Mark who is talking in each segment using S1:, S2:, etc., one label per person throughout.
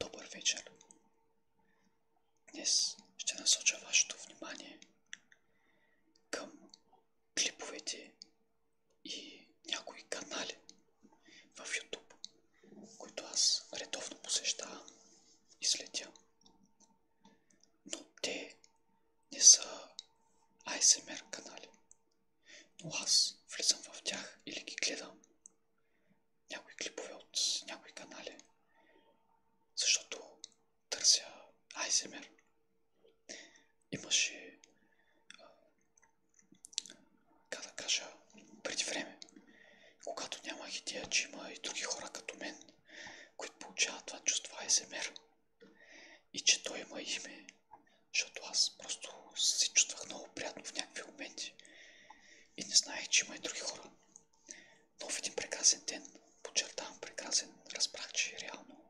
S1: Добър вечер! Днес ще насоча вашето внимание към клиповете и някои канали в YouTube, които аз редовно посещавам и следя. Но те не са ASMR канали. Но аз влизам в тях или ги гледам някои клипове от някои канали, защото търся Айземер. Имаше, как да кажа, преди време, когато нямах идея, че има и други хора като мен, които получават това чувство Айземер и че той има име защото аз просто се чувствах много приятно в някакви моменти. И не знаех, че има и други хора. Но в един прекрасен ден, подчертавам прекрасен, разбрах, че реално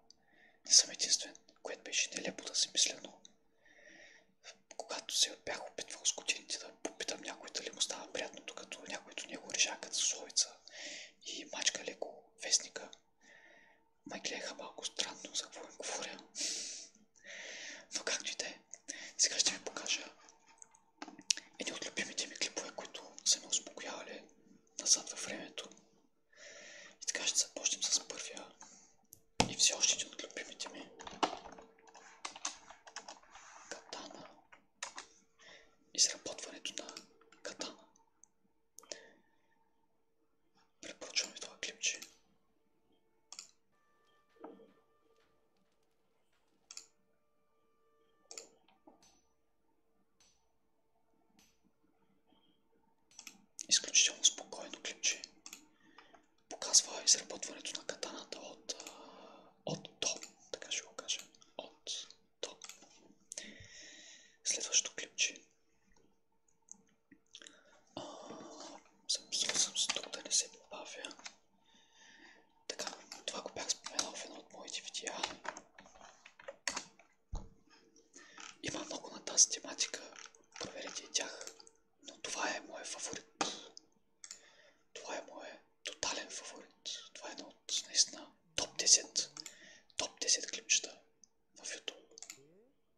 S1: не съм единствен, което беше нелепо да си мисля, но когато се бях опитвал с годините да попитам някой дали му става приятно, докато някой до него режа като словица и мачка леко вестника, ме гледаха малко странно за какво им говоря. Но както и да е, сега ще ви покажа едни от любимите ми клипове, които са ме успокоявали назад във времето. И така ще започнем с първия и все още един от любимите ми. Катана. Изработването на катана. Препоръчваме това клипче. Изключително спокойно клипче. Показва изработването на катаната от, от до, така ще го кажа. От до. Следващото клипче. А, съм съм тук да не се бавя. Така, това го бях споменал в едно от моите видеа. Има много на тази тематика, проверете и тях, но това е моят фаворит. Това е моят тотален фаворит. Това е едно от наистина топ 10, топ 10 клипчета в YouTube.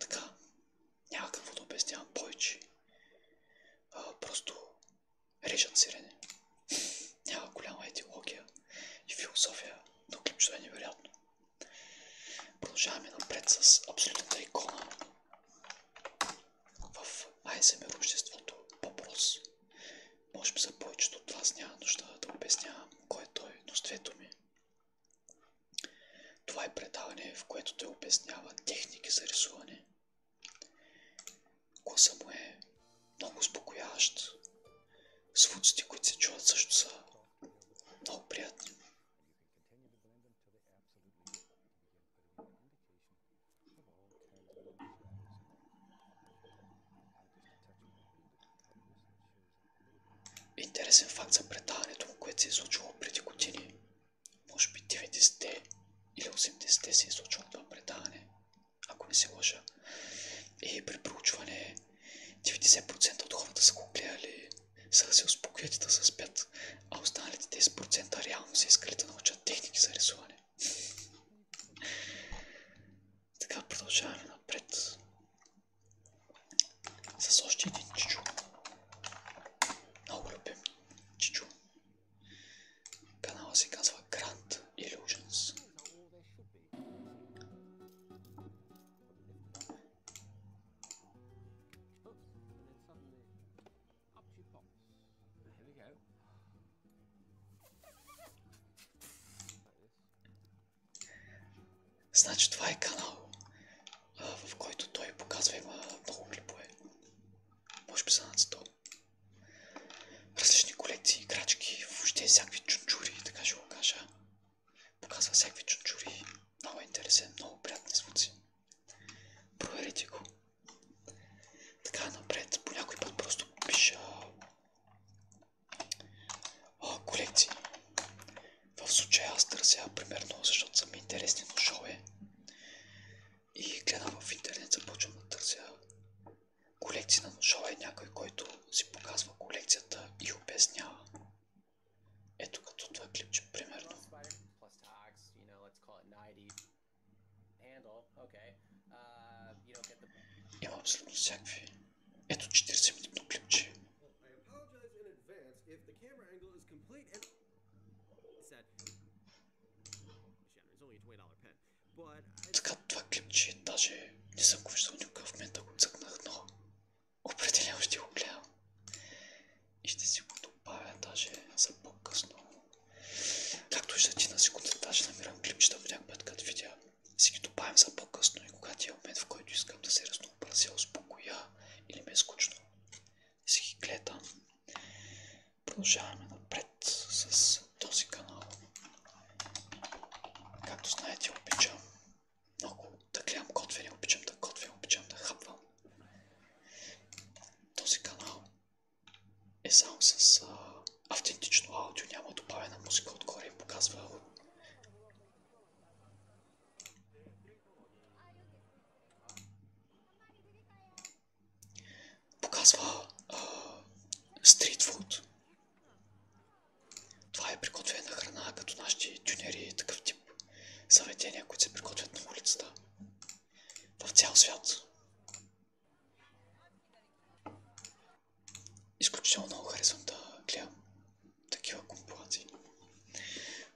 S1: Така, няма какво да обяснявам повече. А, просто режат сирене. Няма голяма етиология и философия, но клипчето е невероятно. Продължаваме напред с абсолютната икона в ASMR обществото Попрос. Може би за повечето от вас няма нужда да обяснявам кой е той, но с ми. Това е предаване, в което той обяснява техники за рисуване. Коса му е много успокояващ. Звуците, които се чуват също са много приятни. Интересен факт за предаването което се е случило преди години. Може би 90-те или 80-те се е случило това предаване, ако не се лъжа. И е, при проучване 90% от хората са го гледали, са да се успокоят и да се спят, а останалите 10% реално са искали да научат техники за рисуване. Така продължаваме напред. С още един чичо. Много любим чичо. Канала се казва Grand Illusions. Значи това е канал, в който той показва има много клипове. Може би са над 100. Различни колекции, играчки, въобще всякакви чунчури, така ще го кажа. Показва всякакви чунчури. Много е интересен, много приятни звуци. Проверете го. Така напред, по някой път просто пиша а, колекции. В случая аз търся, примерно, защото са ми интересни но шоуе. И гледам в интернет, започвам да търся колекции на ножове, някой, който си показва колекцията и обяснява. Ето като това клипче, примерно. Имам абсолютно всякакви ето 40 минутно клипче. Така, това клипче даже не съм го виждал никога в момента, го цъкнах, но определено ще го гледам. И ще си го добавя даже за по-късно. Както ще ти на секунда, даже намирам клипчета по някакъв път, като видя. Си ги добавям за по-късно и когато е момент, в който искам да се разнообразя да се успокоя или ме е скучно. Си ги гледам. Продължаваме напред с този канал. Както знаете, обичам много да гледам готвени, обичам да готвя, обичам да хапвам. Този канал е само с автентично аудио, няма добавена музика отгоре и показва Показва стритфуд. Това е приготвена храна, като нашите тюнери и такъв тип заведения, които се приготвят на улицата в цял свят. Изключително много харесвам да гледам такива компилации.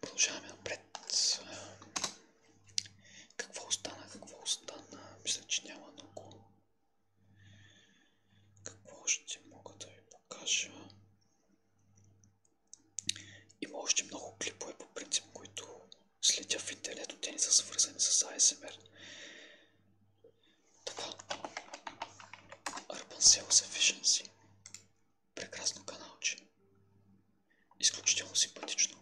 S1: Продължаваме напред. Какво остана? Какво остана? Мисля, че няма много. Какво ще мога да ви покажа? Има още много клипове по принцип, които следя в интернет, но те не са свързани с ASMR. Това. Urban Sales Efficiency. Прекрасно каналче. Изключително симпатично.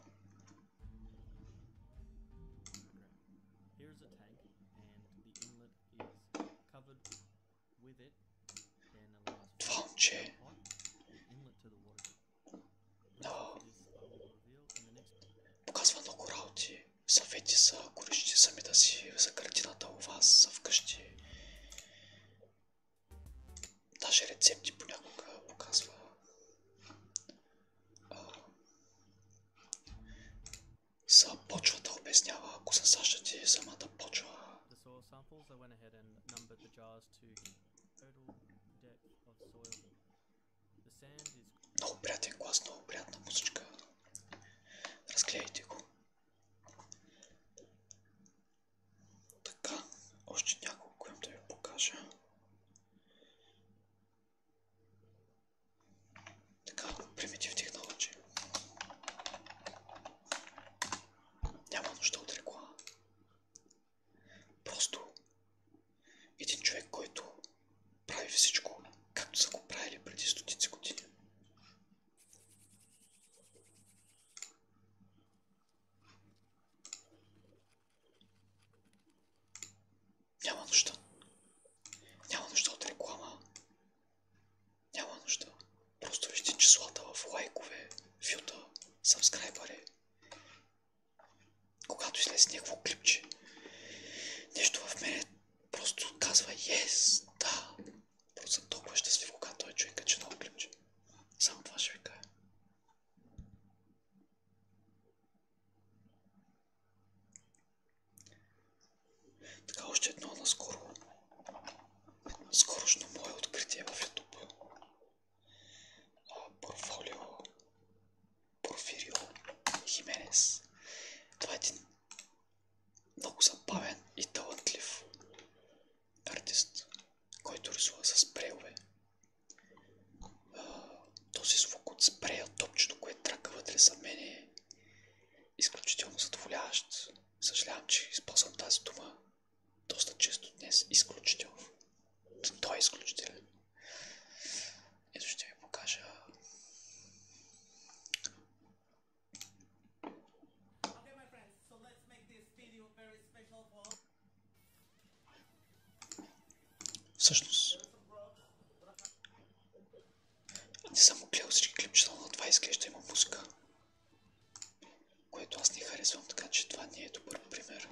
S1: Това момче no. показва много работи съвети са, ако решите сами да си за картината у вас, за вкъщи. Даже рецепти понякога показва. Са почва да обяснява, ако се сащате самата почва. Много приятен глас, много приятна музичка. Разклейте го. Така, още няколко им да ви покажа. Така, примитив технология. Няма нужда от реклама. Просто един човек, който прави всичко, както са го правили преди стотици години. Няма нужда. Няма нужда от реклама. Няма нужда. Просто вижте числата в лайкове, вюта, сабскрайбъри. Когато излезе някакво клипче, нещо в мен просто казва yes, да. Просто съм толкова щастлив, когато е човека, че много клипче. Само това ще ви кажа. Така още едно наскоро. Скорошно мое откритие в YouTube. Портфолио Порфирио Хименес. Това е един много забавен и талантлив артист, който рисува с спрейове. Този звук от спрея, топчето, което трака вътре за мен е изключително задоволяващ. Съжалявам, че използвам тази дума доста често днес. Изключително. Той е изключителен. Ето ще ви покажа Всъщност не съм гледал всички клипчета, но това изглежда има музика. Което аз не харесвам, така че това не е добър пример.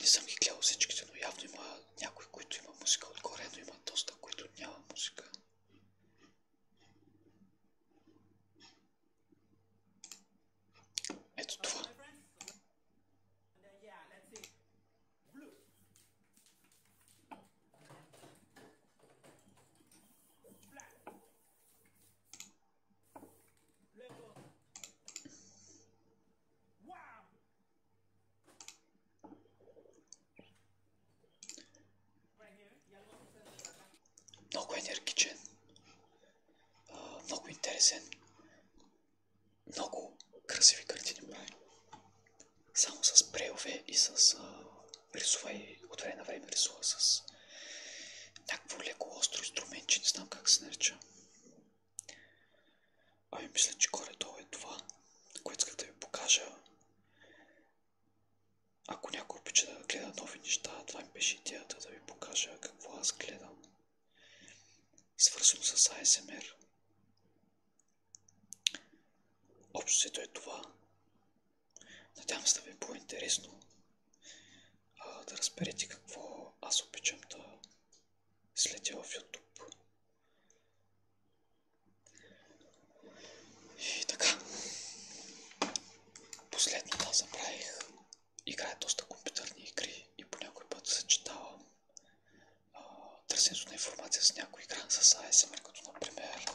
S1: Не съм ги гледал всичките, но явно има някой, които има музика отгоре, но има доста, които няма музика. Много енергичен. Много интересен. Много красиви картини прави. Само с прелове и с рисува и от време на време рисува с някакво леко остро инструментче, не знам как се нарича. Ами мисля, че горе-долу е това, което исках да ви покажа. Ако някой обича да гледа нови неща, това ми беше идеята да ви покажа какво аз гледам. Свързано с ASMR. Общо се е това. Надявам се да ви е по-интересно да разберете какво аз обичам да следя в YouTube. И така. Последно да забравих. Играя доста компютърни игри и по някой път съчетавам търсенето на информация с някоя игра с ASMR, като например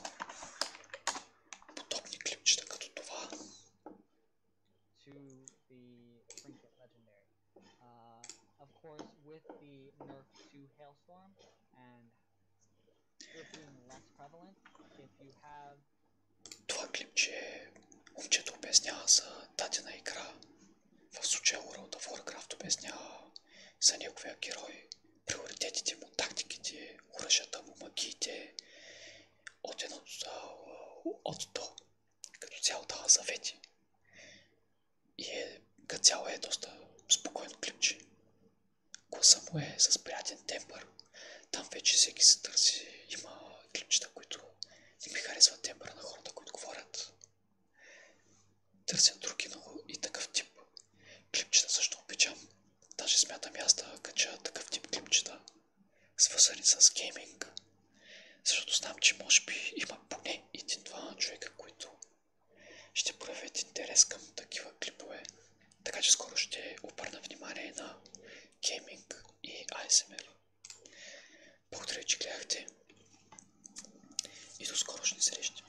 S1: подобни клипчета като това. Uh, това клипче момчето обяснява за дадена игра. В случая World of Warcraft обяснява за неговия герой приоритетите му, тактиките, уръщата му, магиите от 1 от 100. Като цяло дава съвети. И е, като цяло е доста спокойно клипче. Гласа му е с приятен тембър. Там вече всеки се търси. Има клипчета, които не ми харесват тембъра на хората, които говорят. Търсят други много и такъв тип Клипчета също обичам. Даже смятам и аз да кача такъв тип клипчета, свързани с гейминг. Защото знам, че може би има поне един-два човека, които ще проявят интерес към такива клипове. Така че скоро ще обърна внимание на гейминг и ASMR. Благодаря, че гледахте и до скорошни срещи.